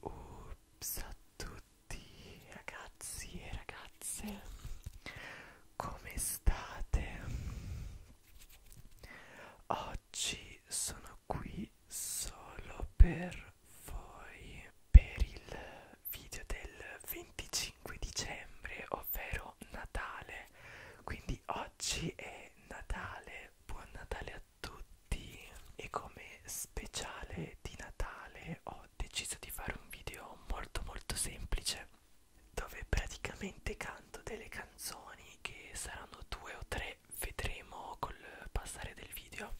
Ups a tutti ragazzi e ragazze come state? Oggi sono qui solo per voi per il video del 25 dicembre ovvero Natale quindi oggi è Natale buon Natale a tutti e come speciale di Natale ho deciso di fare un video molto molto semplice dove praticamente canto delle canzoni che saranno due o tre vedremo col passare del video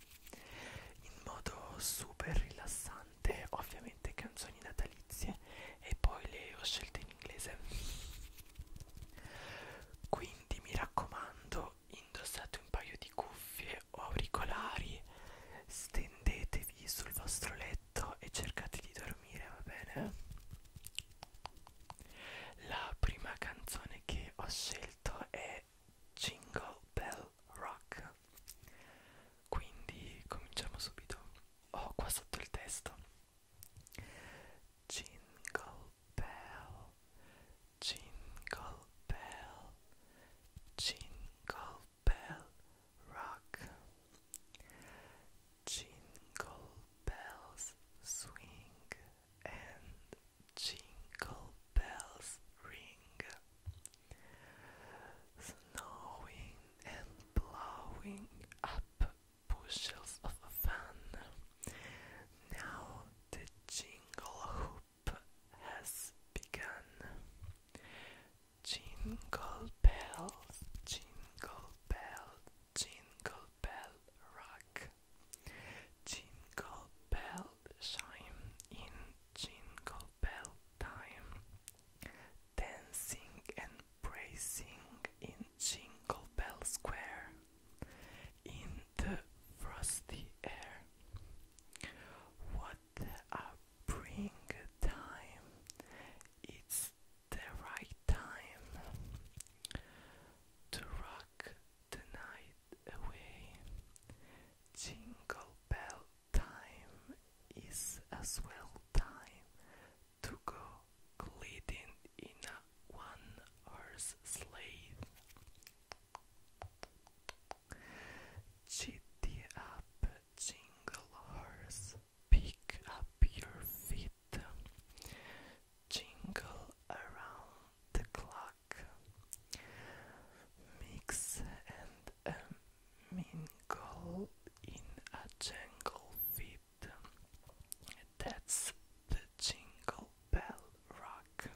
in modo super rilassante ovviamente canzoni natalizie e poi le ho scelte in inglese quindi mi raccomando indossate un paio di cuffie o auricolari, stendetevi sul vostro letto e cercate di dormire, va bene? La prima canzone che ho scelto è Jingle Bell Rock. Quindi cominciamo subito. Ho oh, qua sotto il testo. Jingle bell, jingle bell, jingle bell rock. Jingle bells swing and jingle bells ring. Snowing and blowing up bushels of fun. Now the jingle hoop has begun. Jingle bells, jingle bell, jingle bell rock. Jingle bell chime in jingle bell time. Dancing and praising in Jingle Bell Square in the frosty air. What a bring It's the right time to rock the night away. Jingle bell time is as well time to go gliding in a one horse sleigh. Chitty up, jingle horse, pick up your feet, jingle around the clock, mix and uh, mingle in a jingle fit. That's the jingle bell rock.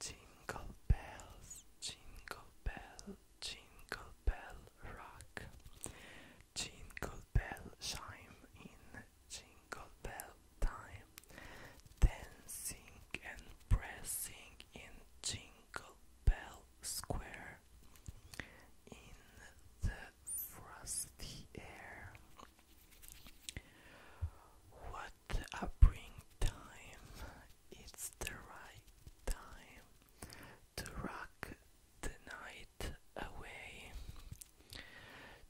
Jingle bells, jingle bell, jingle bell rock. Jingle bell chime in jingle bell time. Dancing and pressing in jingle bell square. In the frosty air, what a bring It's the right time to rock the night away.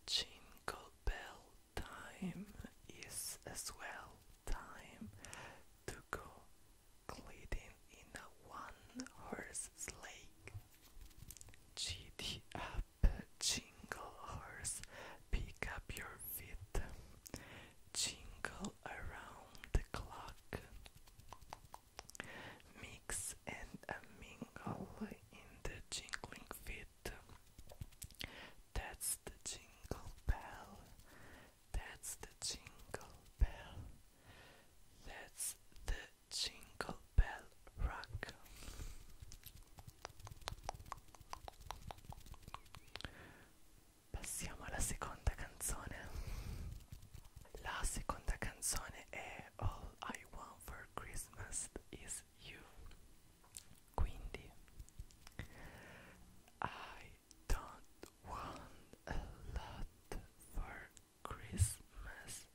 Jingle bell time is as well time to go gliding in a one horse sleigh. Giddy up, jingle horse, pick up your feet, jingle around the clock, mix and a mingle in the jingling feet. That's the jingle bell, that's the jingle bell, that's the jingle bell rock. Passiamo alla seconda canzone. La seconda canzone è All I Want for Christmas is You. Quindi I don't want a lot for Christmas.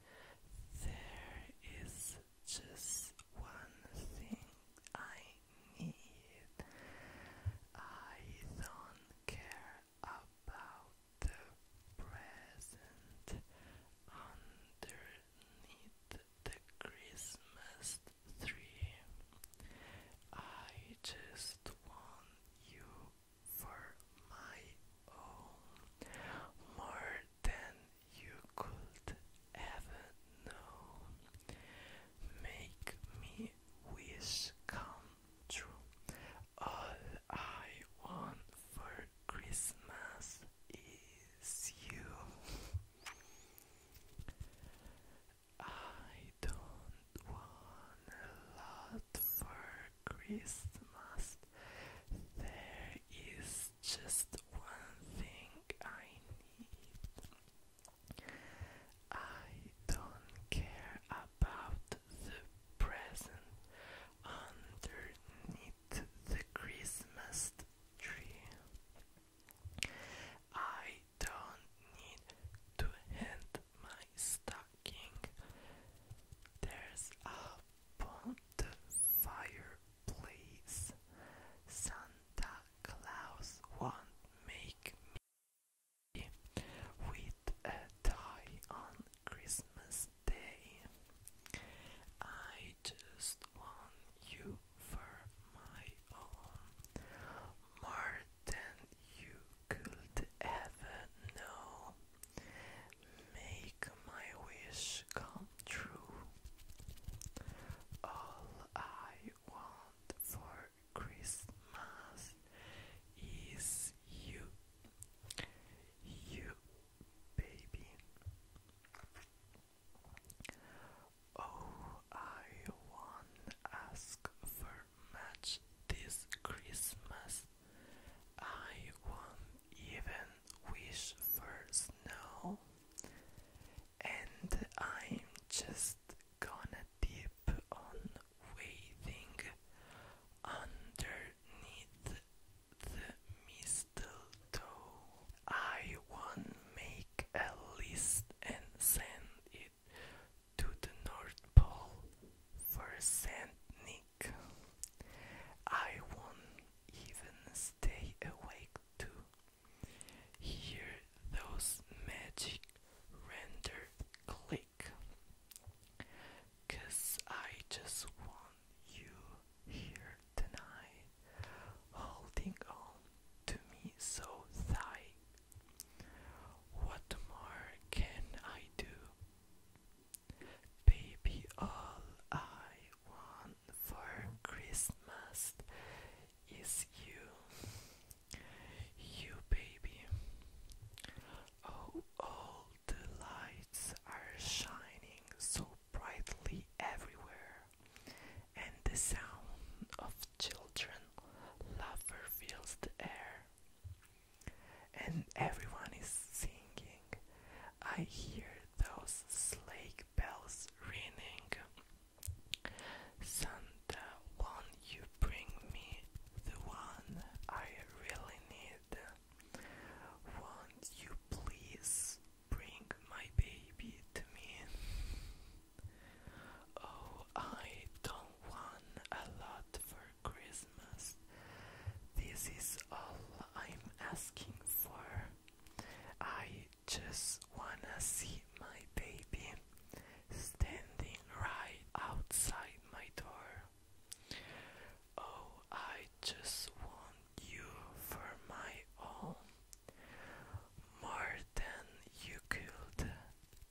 There is just one thing I need. I don't care about the present underneath the Christmas tree. I just want you for my own more than you could ever know. Make me wish come true. All I want for Christmas is you. I don't want a lot for Christmas. There is just one thing I need. I don't care about the present underneath the Christmas tree. I don't need to hand my stocking. There's a bonfire please. Santa Claus won't make me with a tie on Christmas Day. I just want you for my own, more than you could ever know. Make my wish come true. All I want for Christmas is you, you baby. Oh, I won't ask for much this Christmas. I won't even wish for snow and I'm just gonna dip on waiting underneath the mistletoe. I won't make a list and send it to the North Pole for Saint Nick. I won't even stay awake to Hear those magic render click. I just want you here tonight, holding on to me so tight. What more can I do? Baby, all I want for Christmas is you, you baby. Oh, all the lights are shining so brightly everywhere, and the sound of children laughter fills the air. And everyone is singing. I hear those sleigh bells ringing. Santa, won't you bring me the one I really need? Won't you please bring my baby to me? Oh, I don't want a lot for Christmas. This is all I'm asking for. I just wanna see my baby standing right outside my door. Oh, I just want you for my own, more than you could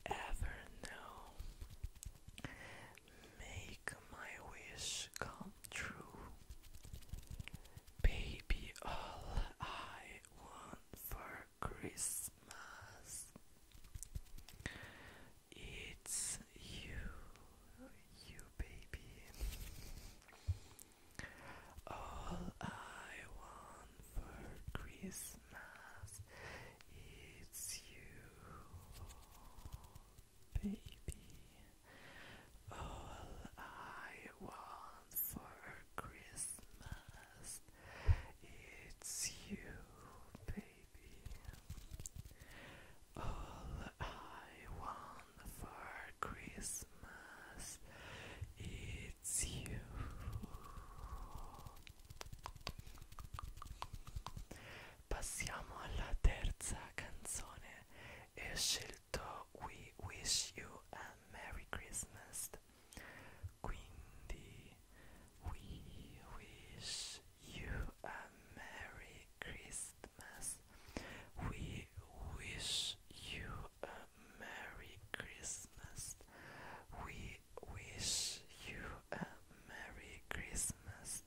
ever know. Make my wish come true. Baby, all I want for Christmas? It's you, you baby. All I want for Christmas is you, baby. All I want for Christmas? It's you, baby. All I want for Christmas, it's you. Passiamo alla terza canzone. Esce il we wish you a Merry Christmas. we wish you a Merry Christmas. We wish you a Merry Christmas. We wish you a Merry Christmas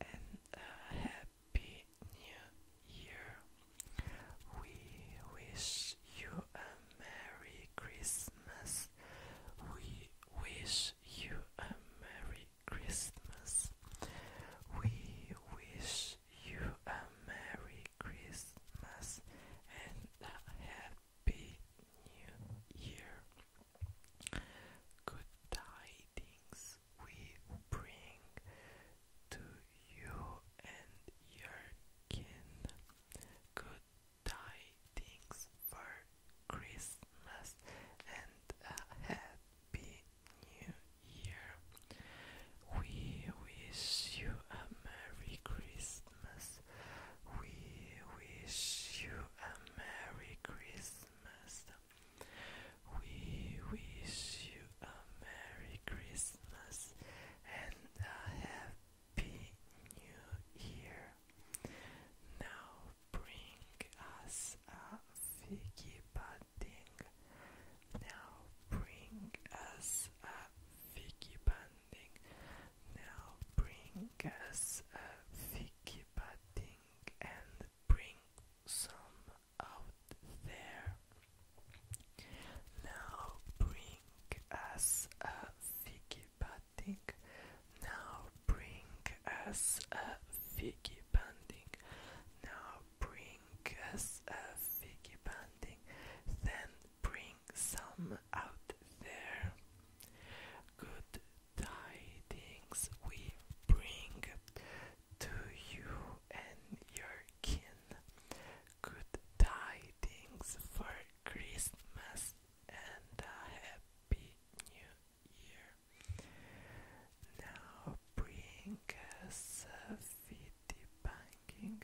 and a Happy New Year. We wish you a Merry Christmas. We wish you a Merry Christmas. We wish you a Merry Christmas and a Happy New Year. Good tidings we bring to you and your kin. Good tidings for Christmas and a happy new year. We wish you a Merry Christmas. We wish you a Merry Christmas. We wish you a Merry Christmas and a Happy New Year. Now bring us a figgy Now bring us a figgy Now bring us a figgy and bring some out there. Now bring us a figgy Now bring us a figgy Now bring us a figgy Then bring some out there. Good tidings we bring to you and your kin good tidings for Christmas and a happy new year. Now bring us a fitty banking.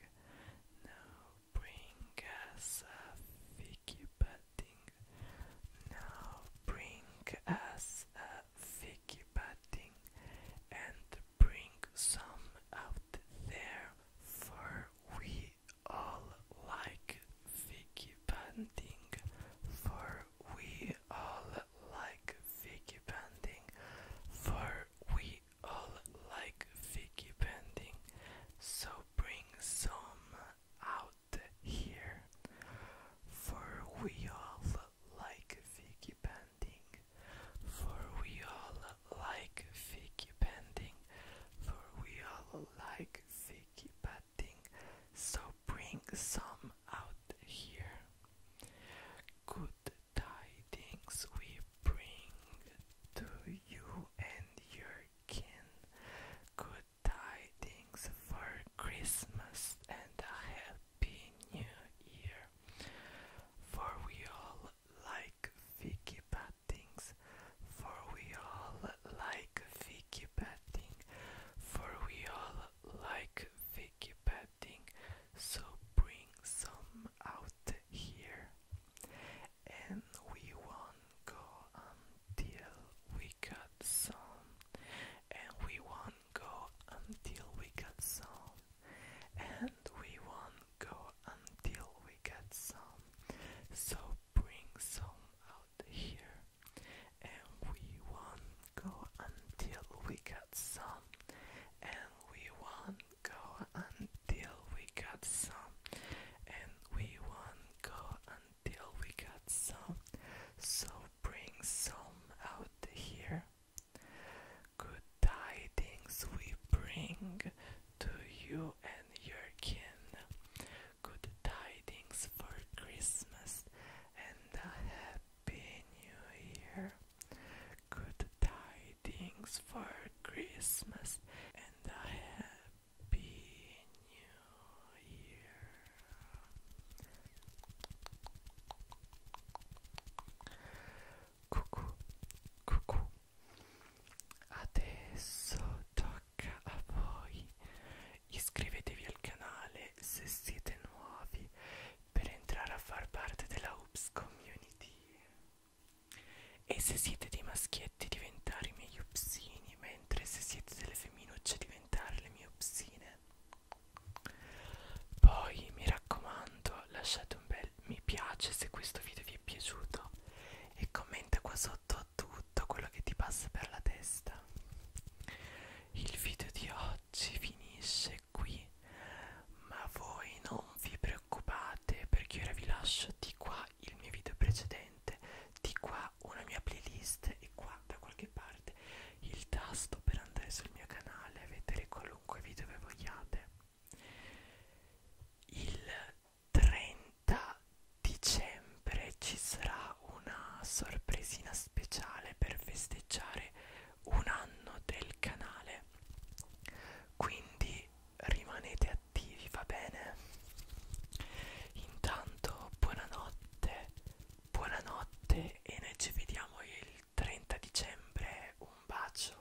Now bring us a figgy batting. Now bring us a figgy batting and bring some out there for we all like Vicky Bunting, for we all like Vicky Bunting, for we all like Vicky Bunting, so bring some out here, for we all like Vicky Bunting for we all like figgy bending, for we all like figgy batting, so bring some out here. Good tidings we bring to you and your kin. Good tidings for Christmas and a happy new year. For we all like Vicky Pattings, for we all like Vicky Patting, for we all like Vicky Patting, so bring some out here. And we won't go until we got some, and we won't go until we got some, and we won't go until we get some. So bring some out here, and we won't go until we get some, and we won't go until we get some, and we won't go until we get some. So bring some out here. Good tidings we bring to you and your kin. Good tidings for Christmas and a happy new year. Good tidings for Christmas and a happy new year. cucù, cucù. Adesso tocca a voi. Iscrivetevi al canale se siete nuovi per entrare a far parte della Oops Community. E se siete dei maschietti diventare i miei upsini, mentre se siete delle femminucce diventare le mie upsine. Poi mi raccomando lasciate un bel mi piace se questo video vi vi è piaciuto e commenta qua sotto tutto quello che ti passa per la testa il video di oggi finisce qui ma voi non vi preoccupate perché ora vi lascio di qua il mio video precedente di qua una mia playlist e qua da qualche parte il tasto per andare sul mio canale a vedere qualunque video che vogliate il 30 dicembre ci sarà una sorpresina speciale per festeggiare un anno del canale. Quindi rimanete attivi, va bene? Intanto buonanotte, buonanotte e noi ci vediamo il 30 dicembre. Un bacio.